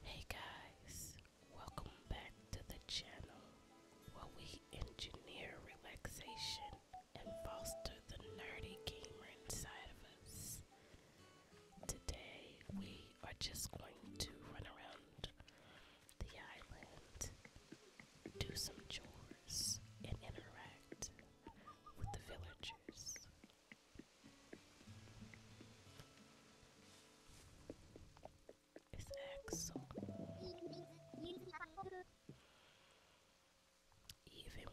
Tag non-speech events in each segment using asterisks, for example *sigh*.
Hey guys, welcome back to the channel where we engineer relaxation and foster the nerdy gamer inside of us. Today we are just going to run around the island, do some chores, and interact with the villagers. It's excellent. Even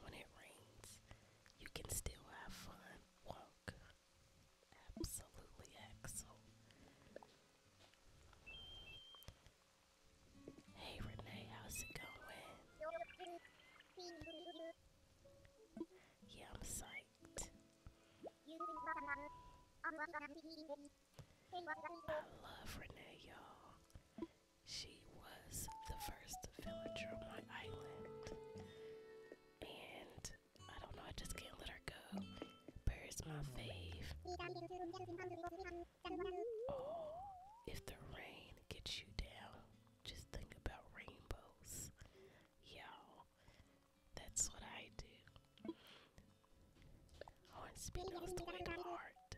when it rains, you can still have fun. Walk. Absolutely excellent. Hey Renee, how's it going? Yeah, I'm psyched. I love Renee, y'all. She was the first villager on my island. And I don't know, I just can't let her go. Bird's my fave. Oh, if the rain gets you down, just think about rainbows. Y'all, that's what I do. Oh, and speaking of Twine Art,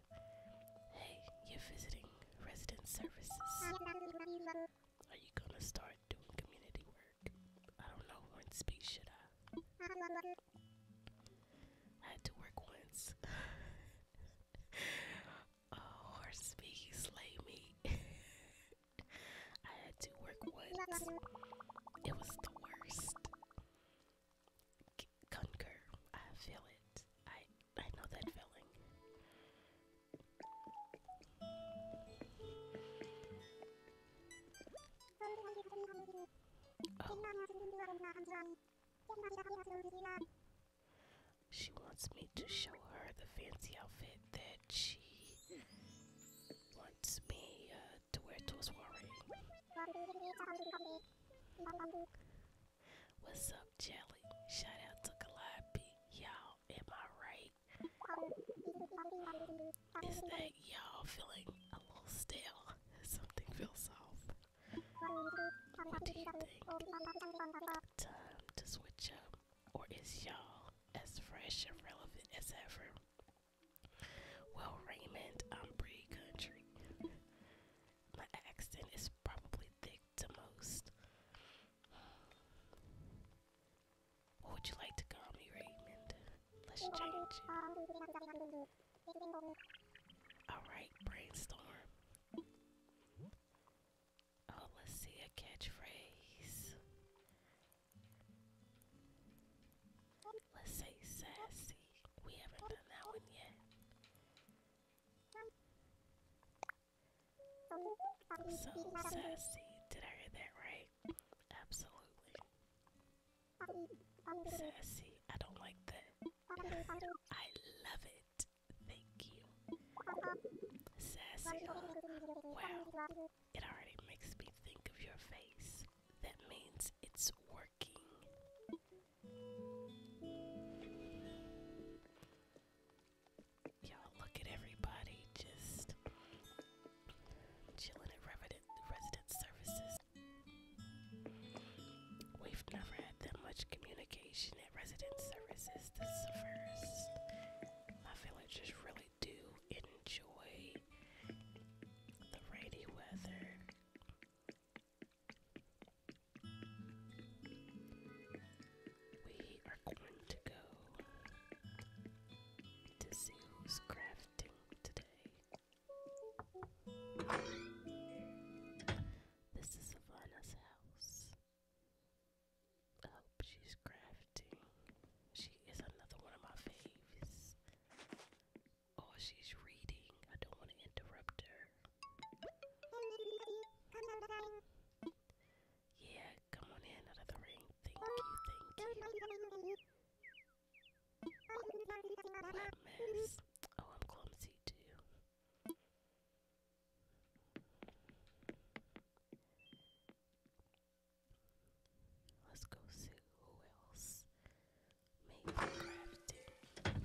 hey, you're visiting resident services. Are you gonna start doing community work? I don't know when should I. I had to work once. *laughs* oh, slay me. *laughs* I had to work once. It was the worst. C I feel it. I I know that feeling. Oh. She wants me to show her the fancy outfit that she wants me uh, to wear to a soiree. What's up, Jelly? Shout to Calliope. Y'all, am I right? Is that y'all feeling a little stale? *laughs* Something feels off. Time to switch up. Or is y'all as fresh and relevant as ever? Well, Raymond, I'm pretty country. My accent is probably thick to most. would you like to call Raymond? Let's change it. Alright, brainstorm. Oh, let's see a catchphrase. Let's say sassy. We haven't done that one yet. So sassy. Did I hear that right? Absolutely. Sassy. I don't like that. I love it. Thank you. Sassy. Wow it already makes me think of your face. That means it's working. Y'all look at everybody just chilling at resident, services. We've never had that much communication at resident services. This is the first. My village is really do enjoy the rainy weather. We are going to go to see who's crafting today. This is Savannah's house. I oh, hope she's crafting. She is another one of my faves. Oh, she's reading. I don't want to interrupt her. Yeah, come on in, another ring. Thank you, thank you. mess? Oh, I'm clumsy too. Let's go see who else made crafted.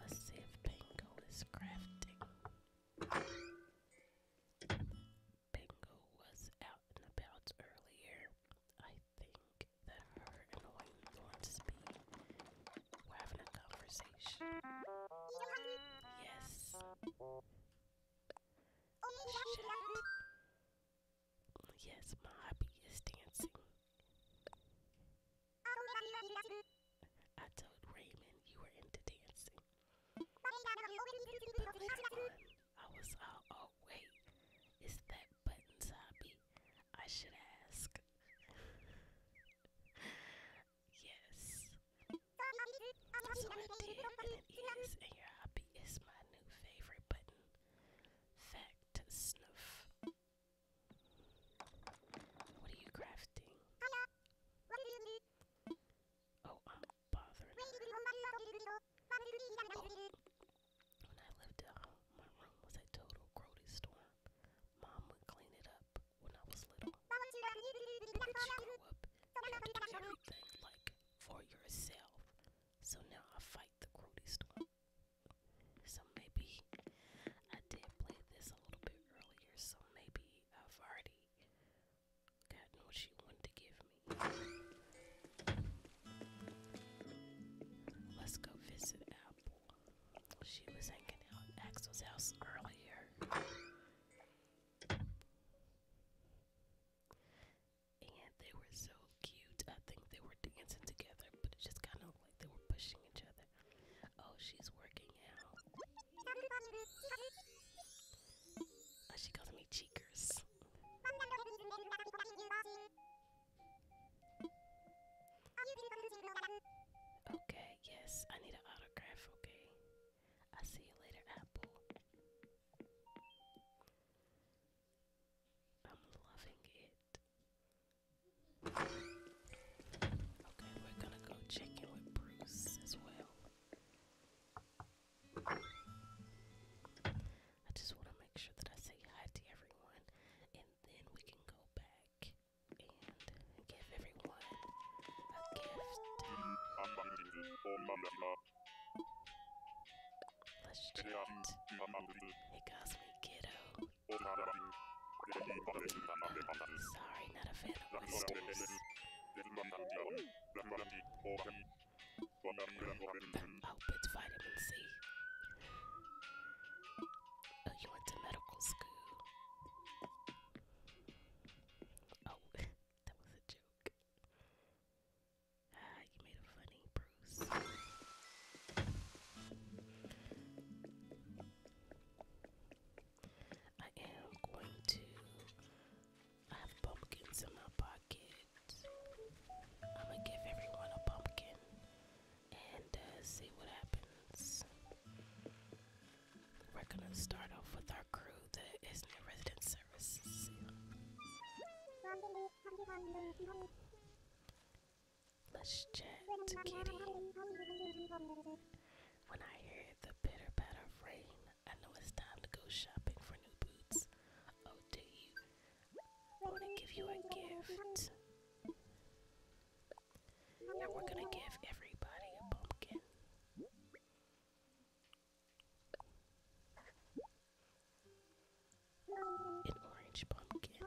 Let's see if Pango is crafting. Bingo was out and about earlier. I think that her and Wayne want to speak. We're having a conversation. Yes. Yes, my hobby is dancing. I told Raymond you were into dancing. But I was all, oh wait, is that Button's hobby? I should ask. yes. So I did, and and your hobby is my new favorite button. Fact snuff. What are you crafting? Oh, I'm bothered. When I lived uh, my room was a total grody storm. Mom would clean it up when I was little. But you grow up having to like for yourself. So now I fight the grody storm. So maybe I did play this a little bit earlier, so maybe I've already gotten what she wanted to give me. Let's go visit Apple. She was hanging out at Axel's house earlier. And they were so cute. I think they were dancing together, but it just kind of like they were pushing each other. Oh, she's working out. Uh, she calls me cheekers. Okay, yes, I need an autograph, okay. i see you later, Apple. I'm loving it. Okay, we're gonna go check in with Bruce as well. I just want to make sure that I say hi to everyone, and then we can go back and give everyone a gift. Let's chat. Hey, Cosmic Kiddo. Sorry, not a fan them Muppets vitamin C. Oh, you went to medical school. Oh, *laughs* that was a joke. Ah, you made a funny Bruce. I am going to have pumpkins in my pocket. I'm gonna give everyone a pumpkin and uh, see what happens. We're gonna start off with our crew that is new resident services. Let's chat, kitty. When I hear the bitter, patter of rain, I know it's time to go shopping for new boots. Oh, do you? I want to give you a gift. And we're gonna give everybody a pumpkin. An orange pumpkin.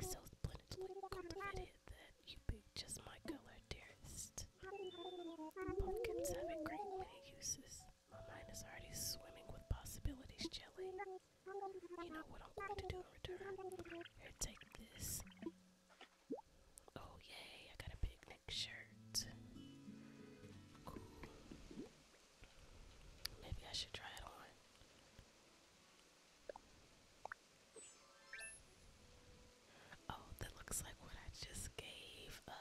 It's so splendidly cultivated that you picked just my color, dearest. Pumpkins have a great many uses. My mind is already swimming with possibilities, Jelly. You know what I'm going to do in return? Here, take this. Oh, yay, I got a picnic shirt. Cool. Maybe I should try it on. Oh, that looks like what I just gave uh,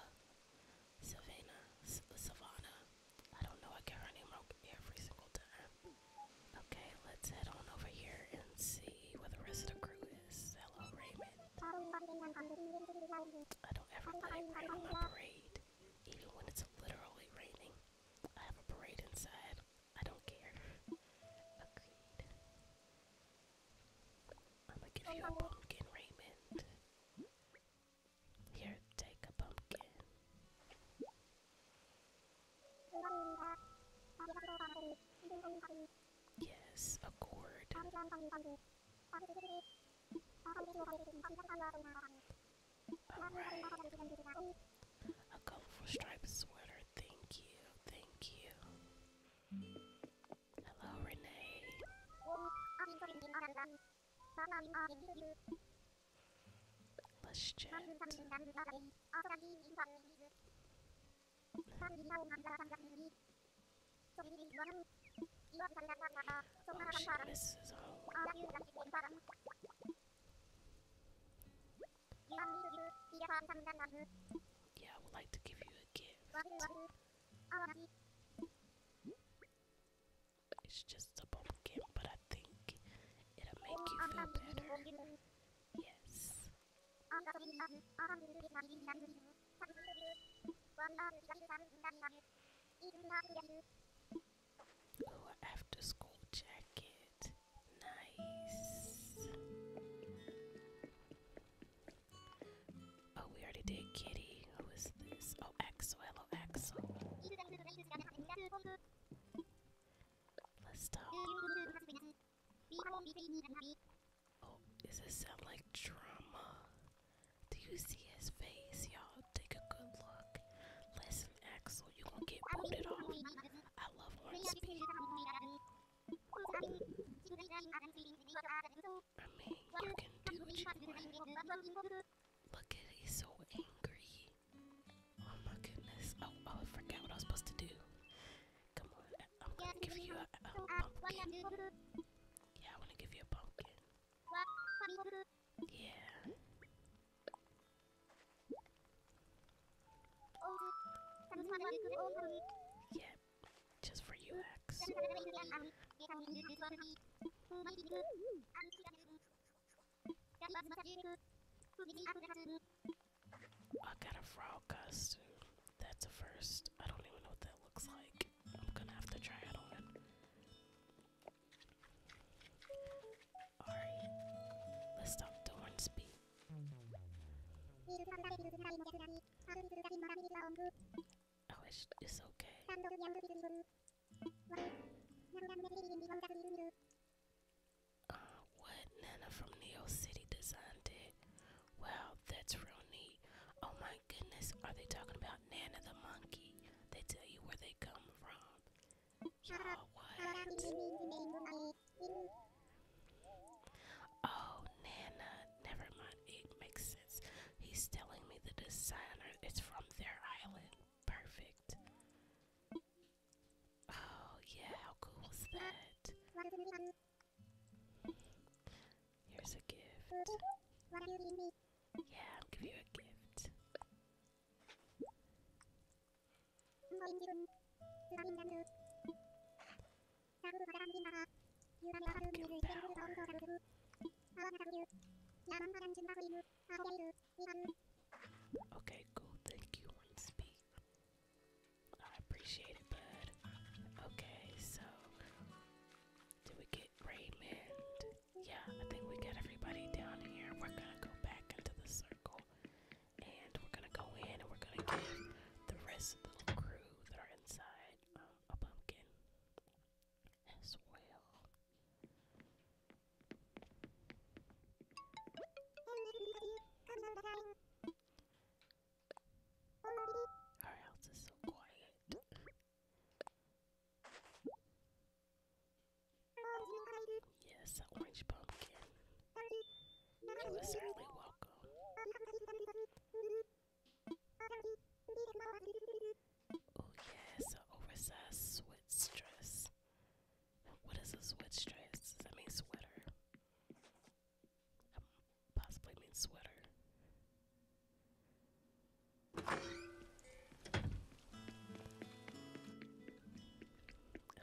Savannah Savannah. I don't know, I get her name wrong every single time. Okay, let's head on over here and see where the rest of the crew is. Hello, Raymond. I don't ever let my parade, even when it's literally raining. I have a parade inside I don't care. Agreed. I'm gonna give you a pumpkin, Raymond. Here, take a pumpkin. Yes, a a colorful striped sweater. Thank you. Thank you. Hello, Renee. Let's chat. Oh this yeah, I would like to give you a gift. It's just a gift, but I think it'll make you feel better. Yes. Oh, after school jacket. Nice. Oh, we already did Kitty. Who is this? Oh, Axel. Hello, Axel. Let's talk. Oh, does this sound like drama? Do you see his face, y'all? Take a good look. Listen, Axel, you gonna get booted off. Look at he's so angry. Oh my goodness. Oh, oh, I forgot what I was supposed to do. Come on, I'm gonna give you a, a uh, pumpkin. Yeah, I wanna give you a pumpkin. Yeah. Yeah, just for you, X. I got a frog costume. That's a first. I don't even know what that looks like. I'm gonna have to try it on. Ari, let's talk to Hornsby. I wish it's okay. Uh, what? Nana from Neo City designed it? Wow, that's real neat. Oh my goodness, are they talking about Nana the monkey? They tell you where they come from. Oh, Nana. Never mind. It makes sense. He's telling me the designer is from their island. Perfect. Oh, yeah. How cool was that? Here's a gift. Yeah, I'll give you a gift. Okay, cool. Thank you, speak. I appreciate it, bud. Okay, so did we get Raymond? Yeah, I think we got everybody down here. We're gonna go back into the circle and we're gonna go in and we're gonna get the rest of the little crew that are inside um, a pumpkin as well. Our house is so quiet. Yes, an orange pumpkin. You were certainly welcome. Oh yes, an oversized sweat dress. What is a sweat dress? Does that mean sweater? Um, possibly mean sweater.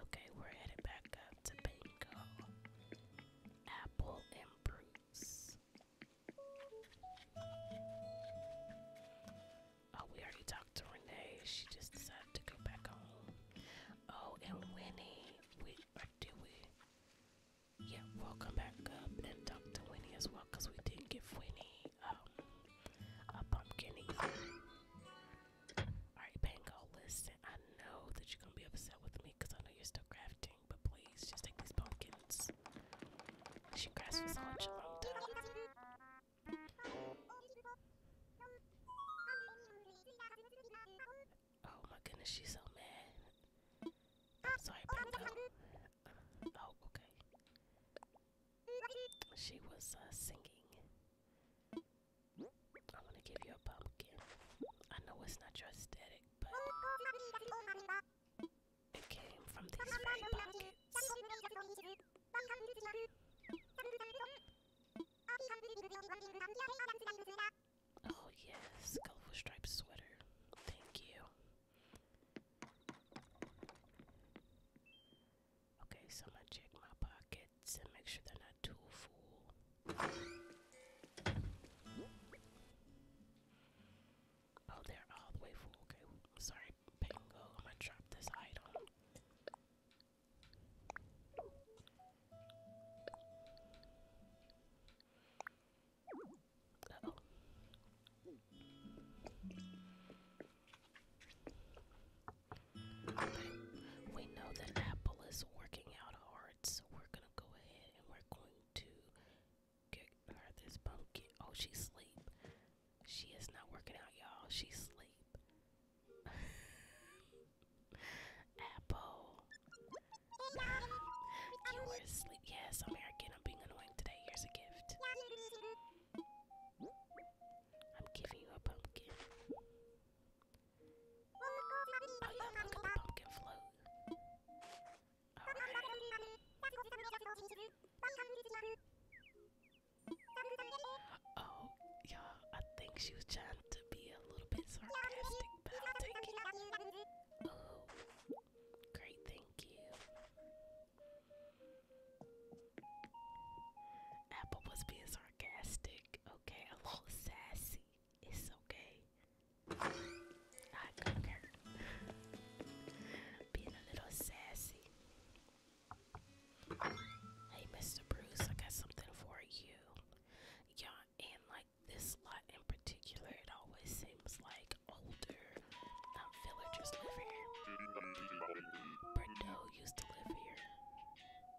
Okay, we're headed back up up to bingo. Apple and Bruce. Oh, we already talked to Renee. She just decided to go back home. Oh, and Winnie. We or we? Yeah, we back up and talk to Winnie as well, cause we didn't give Winnie um, a pumpkin Alright, Bango, listen. I know that you're gonna be upset with me because I know you're still crafting, but please just take these pumpkins. She crafts for such a long time. Oh my goodness, she's so mad. sorry, Bango. Oh, okay. She was uh, singing. I'm gonna give you a pumpkin. I know it's not your aesthetic, but it came from these Oh yes, colorful striped sweater. Thank you. Okay, so I'm gonna check my pockets and make sure they're not too full. Oh, they're all the way full. Okay, sorry, Pango. I'm gonna drop this item we know that Apple is working out hard, so we're gonna go ahead and we're going to get her this pumpkin. Oh, she's asleep. She is not working out, y'all. She's sleep. *laughs* Apple. You were asleep. Yes, I'm here again. I'm being annoying today. Here's a gift. I'm giving you a pumpkin. Oh yeah, pumpkin float. Alright. Oh, yeah, I think she was trying to be a little bit sarcastic, but great, thank you. Apple was being sarcastic, okay, a little sassy. It's okay. I concur. being a little sassy. Hey, Mr. Bruce, I got something for you. Y'all, and like this lot in particular, it always seems like older um, just live here. Bordeaux used to live here.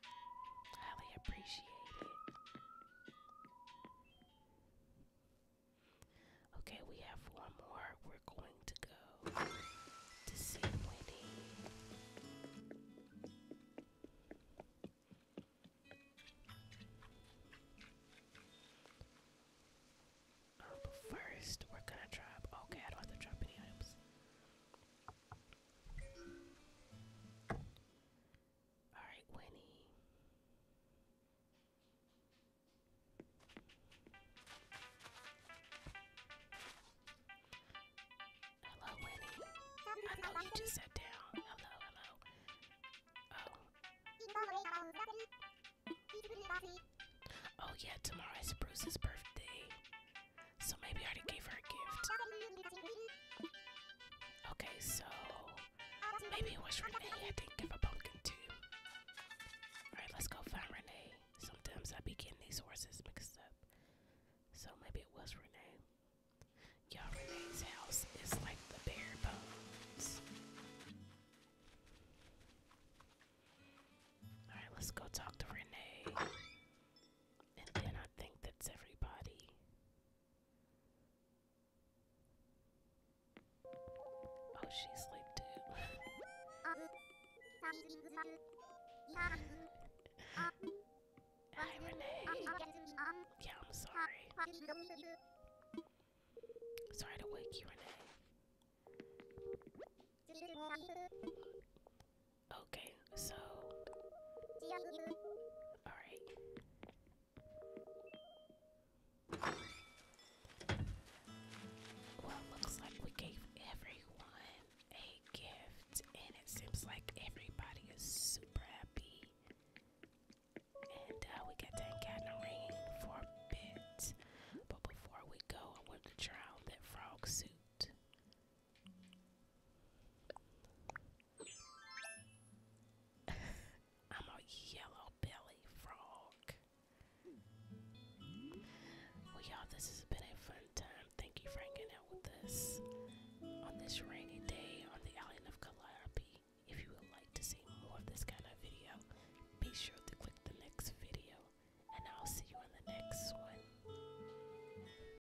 Highly appreciate it. Okay, we have one more. We're going to go to see Winnie. Oh, but first, we're gonna drop. Okay, I don't have to drop any items. All right, Winnie. Hello, Winnie. I know you just sat down. Hello, hello. Oh. Oh, yeah, tomorrow is Bruce's birthday. So maybe I already gave her a gift. Okay, so maybe it was Renee. I didn't give a pumpkin too. Alright, let's go find Renee. Sometimes I be getting these horses mixed up. So maybe it was Renee. Y'all, Renee's house is like the bare bones. Alright, let's go talk to Renee. And then I think that's everybody. Oh, she's asleep too. *laughs* Hi, Renee. Yeah, I'm sorry. Sorry to wake you, Renee. Okay, so. Alright. Well, looks like we gave everyone a gift, and it seems like everybody is super happy. And uh, we got that encounter ring for a bit. But before we go, I want to try on that frog suit. *laughs* I'm a yellow belly frog. Well, y'all, this has been a fun time. Thank you for hanging out with us on this rainy day on the island of Calliope. If you would like to see more of this kind of video, be sure to click the next video, and I'll see you in the next one.